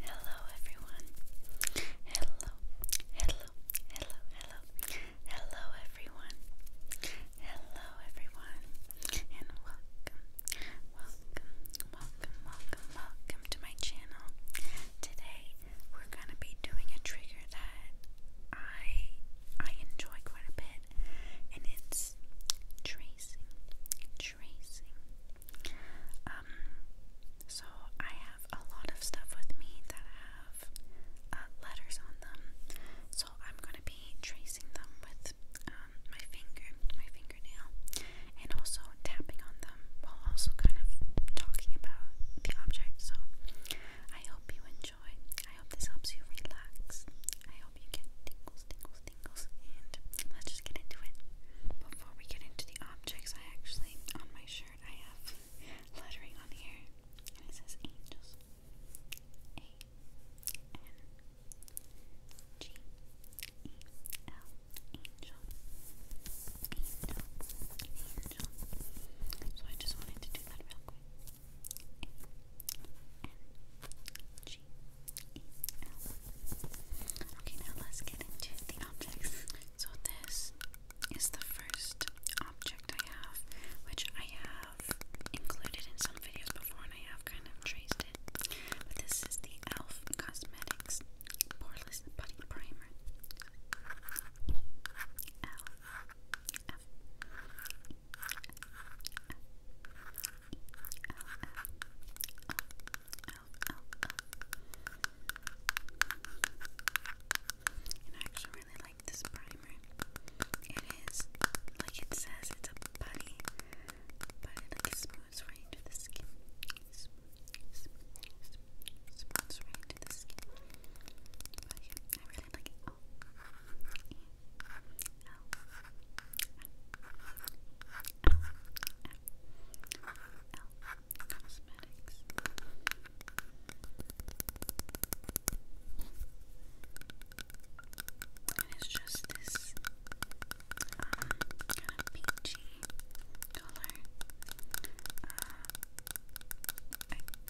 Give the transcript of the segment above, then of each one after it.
Hello everyone. Hello. Hello. Hello. Hello. Hello everyone. Hello everyone. And welcome. Welcome. Welcome. Welcome. Welcome to my channel. Today we're gonna be doing a trigger that I I enjoy quite a bit and it's tracing tracing. Um, so I have a lot of stuff with me that have uh, letters on them, so I'm gonna be tracing them with um, my finger, my fingernail, and also tapping on them while also kind of talking about the object. So I hope you enjoy. I hope this helps you relax. I hope you get things, and let's just get into it. Before we get into the objects, I actually, on my shirt, I have lettering on here, and it says angels. A N G E L So I just wanted to do that real quick. G E L. Okay, now let's get into the objects. So this is the first object I have, which I have included in some videos before, and I have kind of traced it. But this is the Elf Cosmetics Poreless Putty Primer out, out, I actually really like this primer. It is, like it says, it's a putty, but it like smooths right into the skin. I really like it. Oh. And it's just this um, peachy color. Uh,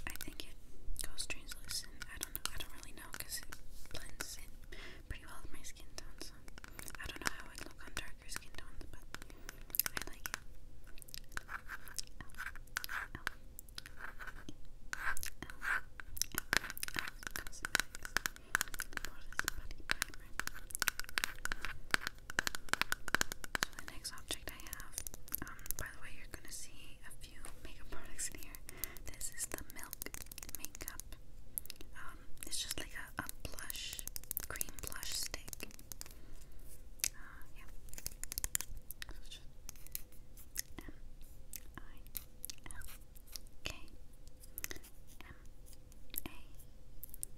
I, think it goes translucent. I don't know. I don't really know because it blends in pretty well with my skin tone. I don't know how it would look on darker skin tones, but I like it. the next object I have, um, by the way, you're gonna see a few makeup products in here. This is the Milk Makeup it's just like a, a blush, cream blush stick. Uh, yeah. M I L K M A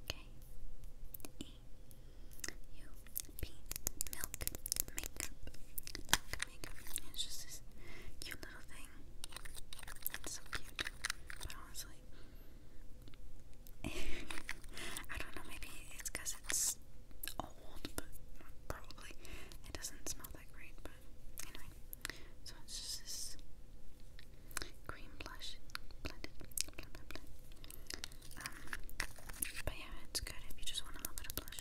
K E U P Milk Makeup. Makeup. It's just this cute little thing. It's so cute. But honestly, I don't know, maybe it's because it's old, but probably it doesn't smell that great. But anyway, so it's just this cream blush blended. Blah, blah, blah. but yeah, it's good if you just want a little bit of blush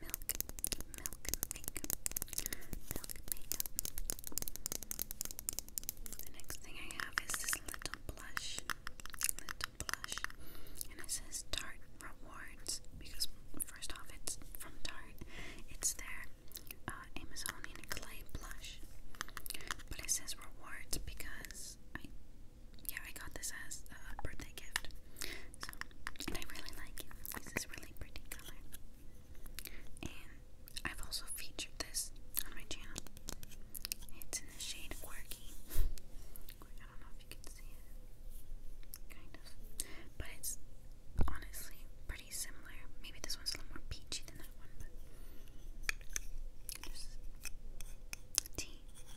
milk, milk makeup, milk The next thing I have is this little blush, little blush, and it says Tarte Rewards because first off, it's from Tart. It's their uh, Amazonian clay blush, but it says Rewards because yeah, I got this as a birthday gift. So, and I really like it. It's this really pretty color. And I've also featured this on my channel. It's in the shade Quirky. I don't know if you can see it. Kind of. But it's honestly pretty similar. Maybe this one's a little more peachy than that one, but.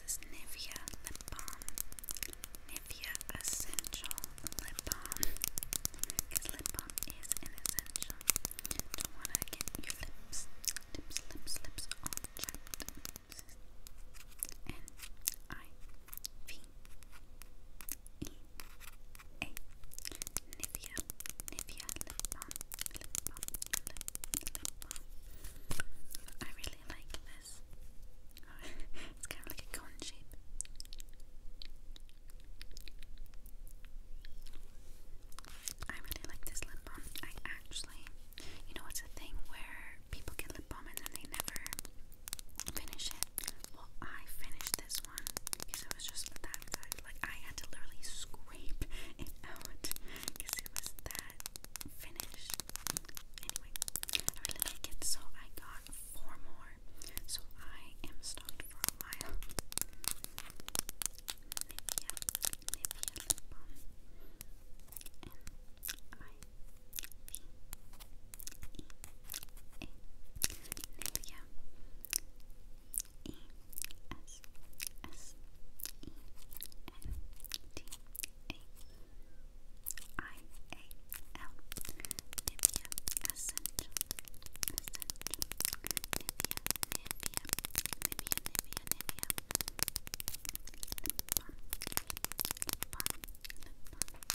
This is Nivea Lip Balm. Nivea Essential Lip Balm. Because lip balm is essential. Don't want to get your lips, lips, lips, lips all chapped. Nivea. Nivea Lip Balm lip I really like this. it's kind of like a cone shape. I really like this lip balm. I actually, you know, it's a thing where people get lip balm and then they never finish it. Well, I finished this one because it was just that good. Like, I had to literally scrape it out because it was that finished. Anyway, I like it, so I got four more. So I am stocked for a while. S S E N T A I A L Nivea Essential Essential Nivea Nivea Nivea Nivea Nivea Lip Balm Lip Balm Lip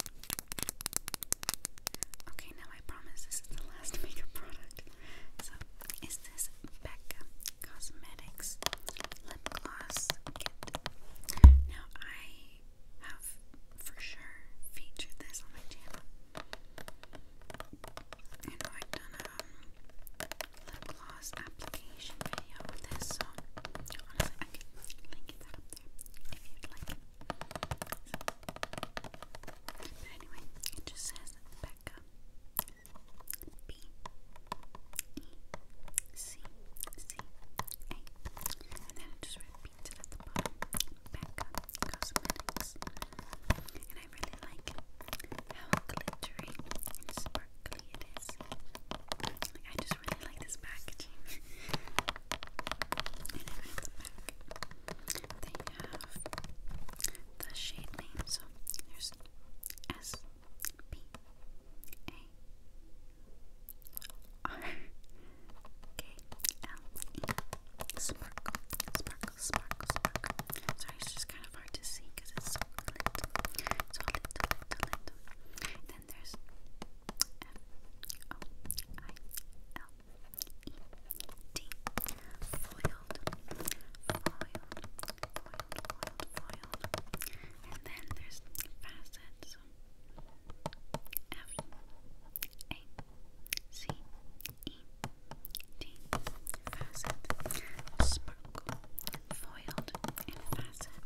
Balm Okay, now I promise this is the last makeup product. So, is this Becca Cosmetics Lip Gloss Kit? Now, I have for sure featured this on my channel. I I've done a lip gloss application video with this, so honestly, I can link it up there if you'd like but anyway, it just says Becca. B E C C A. And then it just repeats it at the bottom. Becca Cosmetics. And I really like how glittery and sparkly it is. Like, I just really like this packaging. And then at the back, they have the shade name. So there's S P A R K L E Sparkle, sparkle, sparkle, sparkle. Sorry, it's just kind of hard to see because it's so little. So little, little, little. Then there's F O I L D foiled, foiled, foiled, And then there's facets. F A C E D facet sparkle foiled and facet.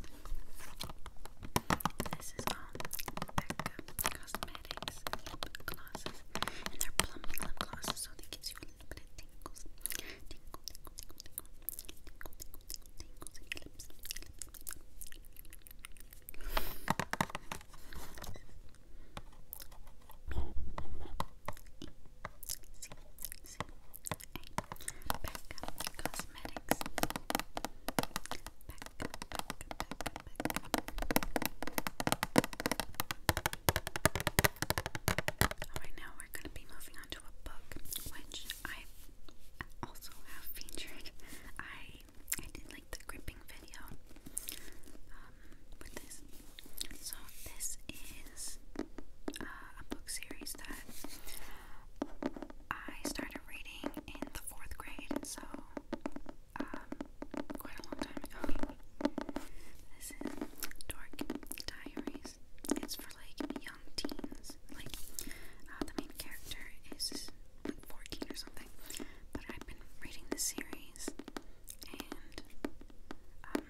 This is all Becca Cosmetics lip And they're plumping lip glosses, so they you a little bit of tingles. Becca Cosmetics. Alright, now we're going to be moving on a book, which I also have featured. I I did like the gripping video um, So this is uh, a book series that I started started reading in the fourth grade, so um, quite a long time ago. This is Dork Diaries. It's for like young teens. Like uh, the main character is like 14 or something. But I've been reading the series and um,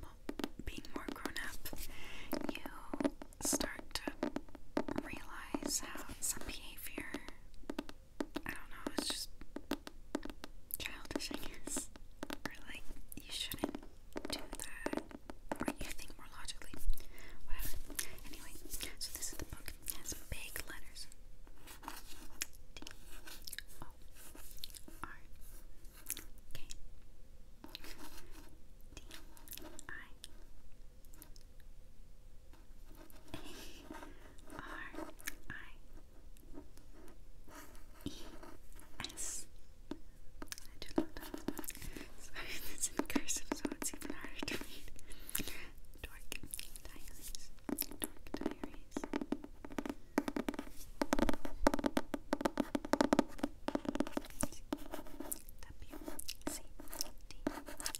well, being more grown up, you start to realize how some behavior, I don't know, it's just childish, I guess. Or like, you shouldn't do that. Or you think more logically. Whatever. Anyway, so this is the book. It has big letters. D O R K D I a R I E S. I do not know Sorry, it's cursive, so it's even harder to read. Dork Diaries. Dork Diaries.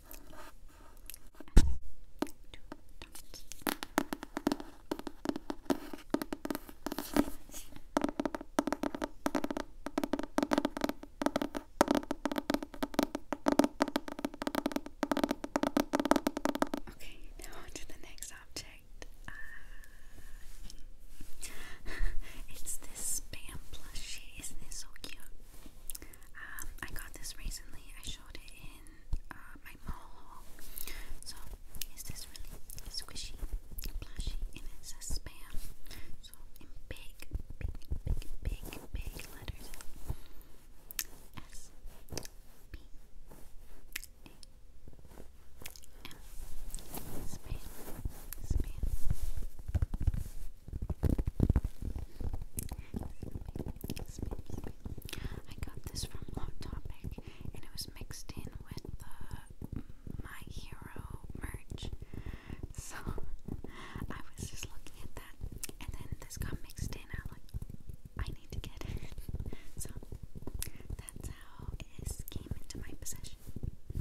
Okay, now on to the next object. Uh, it's this spam plushie. Isn't it so cute? Um, I got this recently. I showed it in uh, my mall haul. So it's this really squishy, plushy, and it says spam. So in big, big, big, big, big letters. S P A M. Spam. Spam. I got this from Hot Topic and it was mixed in with the uh, My Hero merch. So I was just looking at that and then this got mixed in. I like I need to get it. So that's how it came into my possession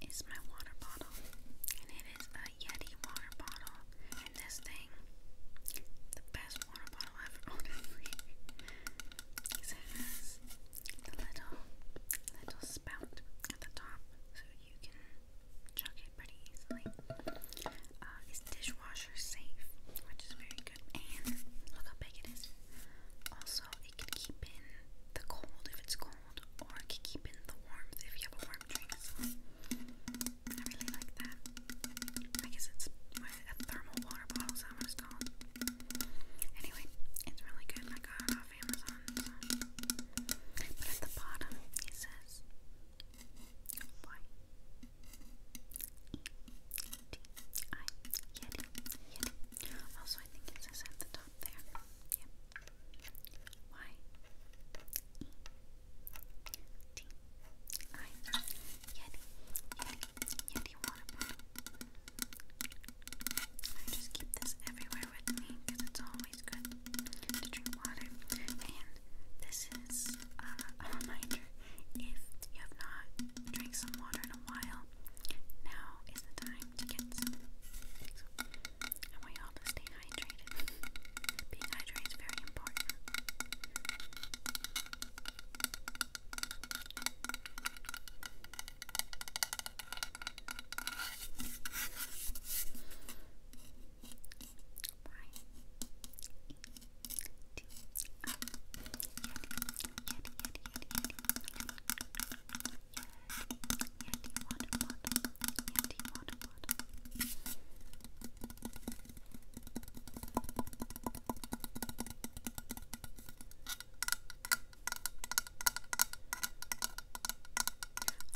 It's my water bottle. And it is a Yeti water bottle. And this thing, the best water bottle I've ever owned. it has the little, little spout at the top so you can chuck it pretty easily. Uh, it's dishwasher safe, which is very good. And look how big it is. Also, it can keep in the cold if it's cold cold, or keep in the warmth if you have a warm drink. I really like that. I guess it's a thermal water bottle, is that called? Anyway, it's really good. I got it off Amazon. But at the bottom, it says why. Yeti Yeti also, I think it says at the top there. Yep. water I just keep this everywhere with me because it's always good to drink water. And this is uh, a reminder if you have not drank some water in a while, now is the time to get some. I want you all to stay hydrated. Being hydrated is very important. Yeti, water bottle.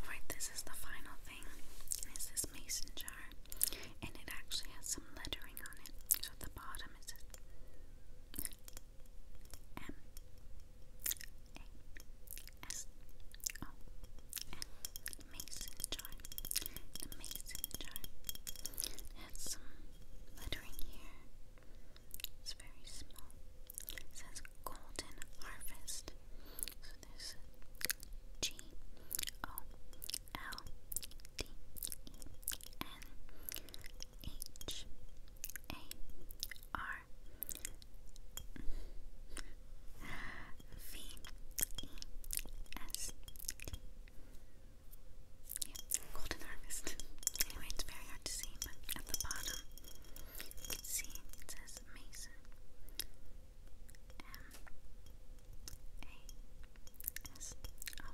Alright, this is the final thing. It's this mason jar. And it actually has some lettering on it. at the bottom it M A S O N Mason jar. mason jar has some lettering here. It's very small. It says golden harvest. So there's G O L D E N H A R V E S T. golden harvest. Anyway, it's very hard to see, but at the bottom you can see it says Mason. M A S O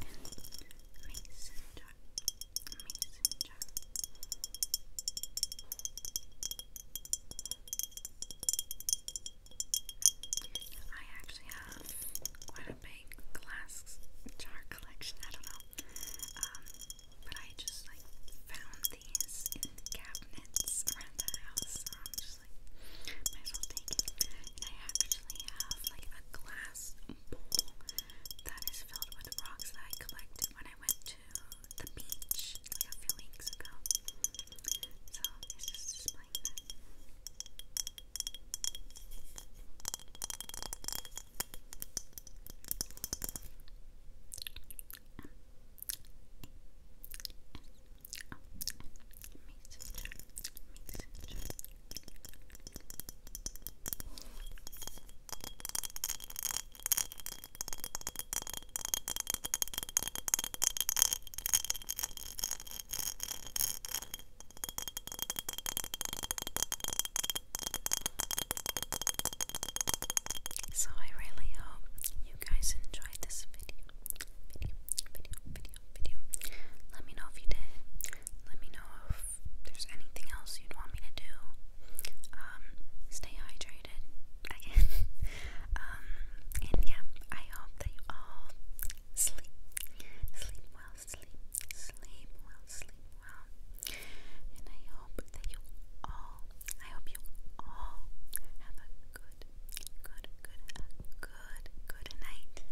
N Mason messenger. I actually have quite a big glass jar collection. I don't know, um, but I just like found these in cabinets around the house. I'm just like, might as well take it. And I actually have like a glass bowl that is filled with rocks that I collected when I went to the beach like a few weeks ago. So it's just displaying that. Messenger, um, oh, messenger, so I really hope you guys enjoyed this video. video, video, Let me know if you did. Let me know if there's anything else you'd want me to do. Um, stay hydrated. um, and yeah, I hope that you all sleep. Sleep well, sleep, sleep well, sleep well. And I hope that you all, I hope you all have a good, good, good, good, good night.